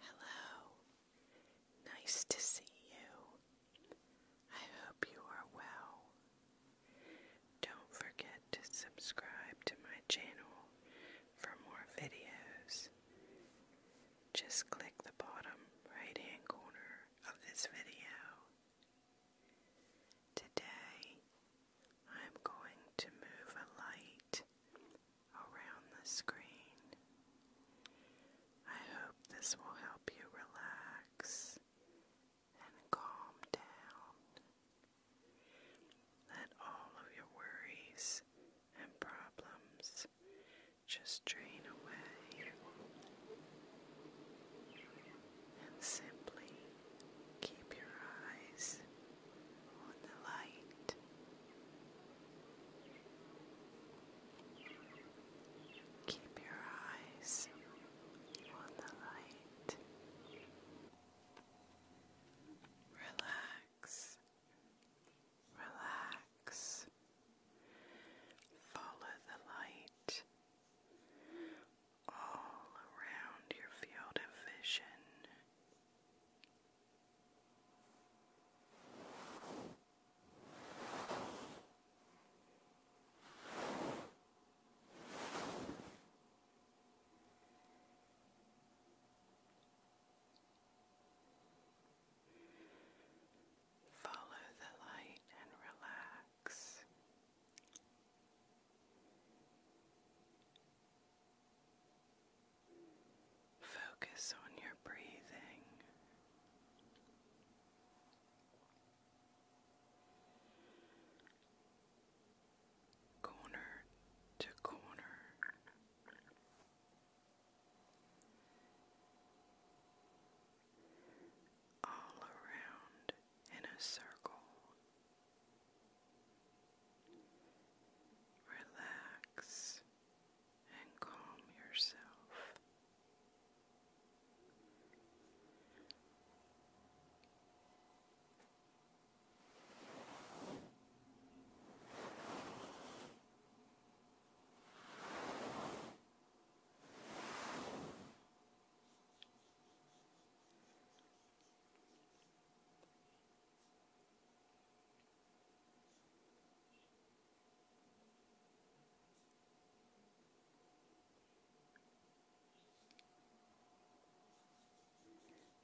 Hello. Nice to see you. I hope you are well. Don't forget to subscribe to my channel for more videos. Just click the bottom right hand corner of this video. Today I'm going to move a light around the screen. I hope this will help you relax and calm down. Let all of your worries and problems just drain away and simply keep your eyes on the light. Keep your eyes on the light. Relax, relax. Follow the light all around your field of vision. Follow the light and relax. Focus on your breathing. Corner to corner. All around in a circle, Relax and calm yourself.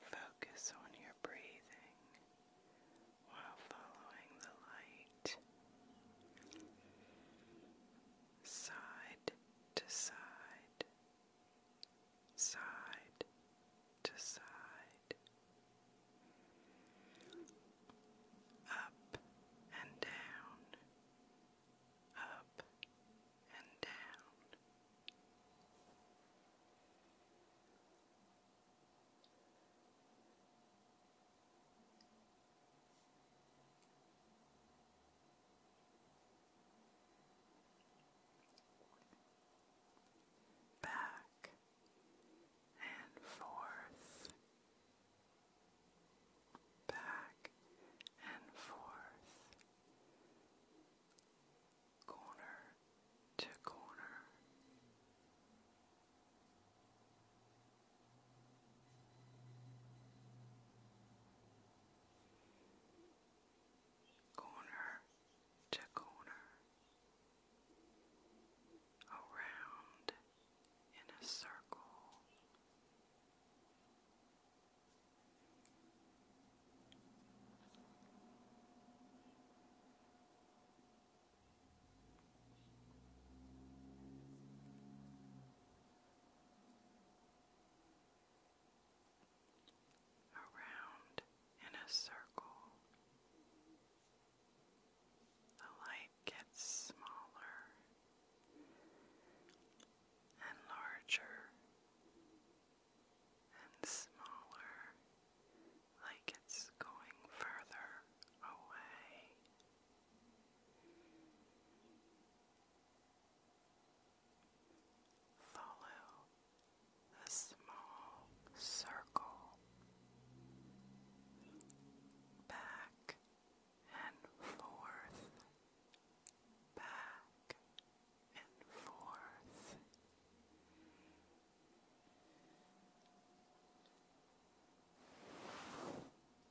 Focus on your breathing while following the light side to side side to side, up and down, up and down back and forth, back and forth, corner to corner corner to corner, around in a circle around in a circle. The light gets smaller and larger and smaller, like it's going further away. Follow the small circle back and forth, back and forth.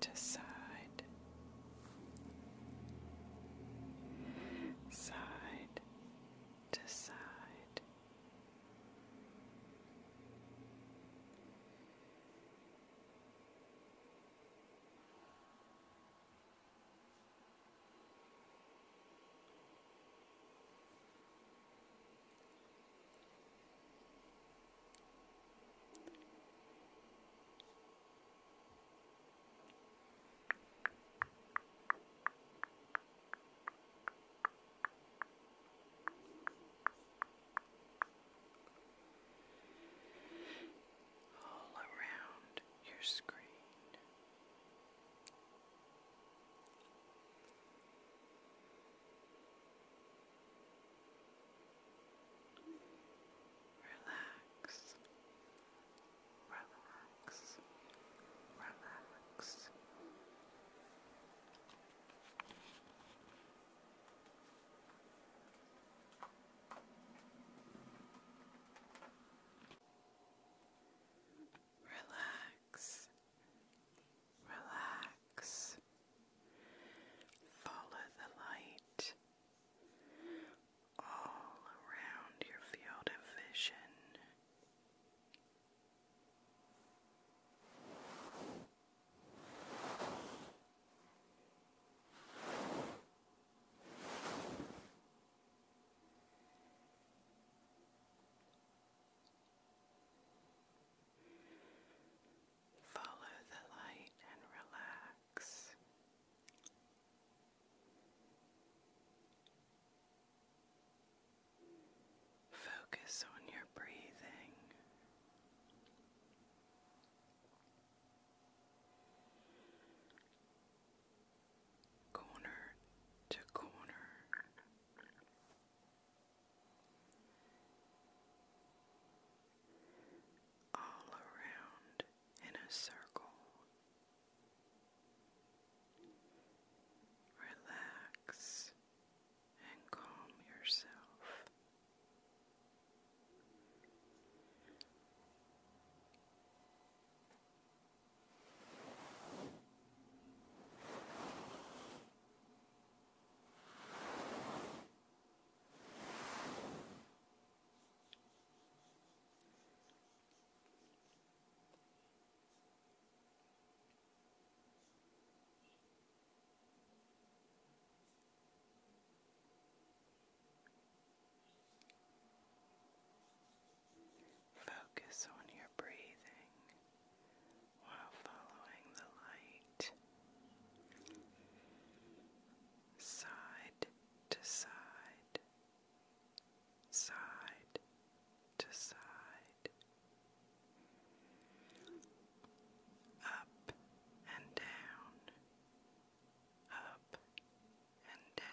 to side, side to side all around your screen. Relax. Relax. Relax. Relax. Relax. Follow the light all around your field of vision. Follow the light and relax. Focus on your breathing. Corner to corner all around in a circle. Relax and calm yourself. Focus on your breathing while following the light side to side, side to side, up and down, up and down.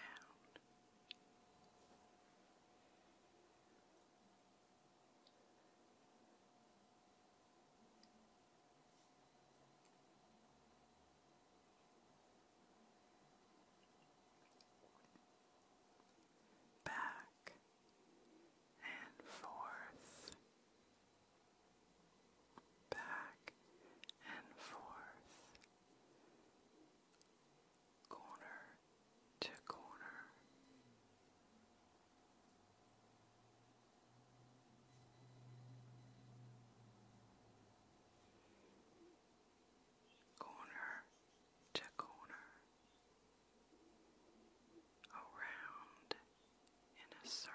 Back and forth, back and forth, corner to corner, corner to corner, around in a circle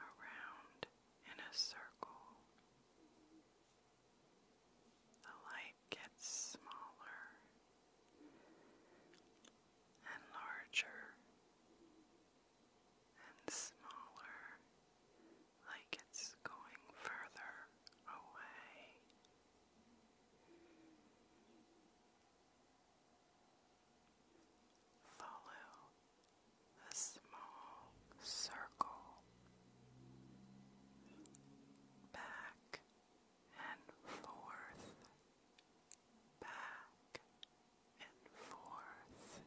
around in a circle. The light gets smaller and larger and smaller like it's going further away. Follow the small circle back and forth, back and forth.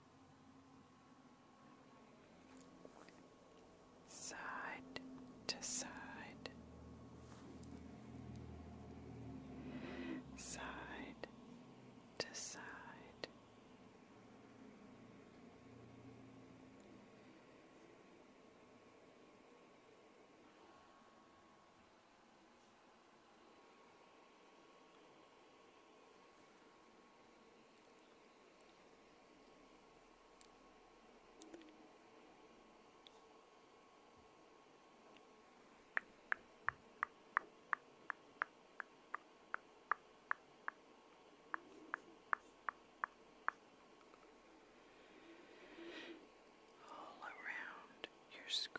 side to side, side to side all around your screen.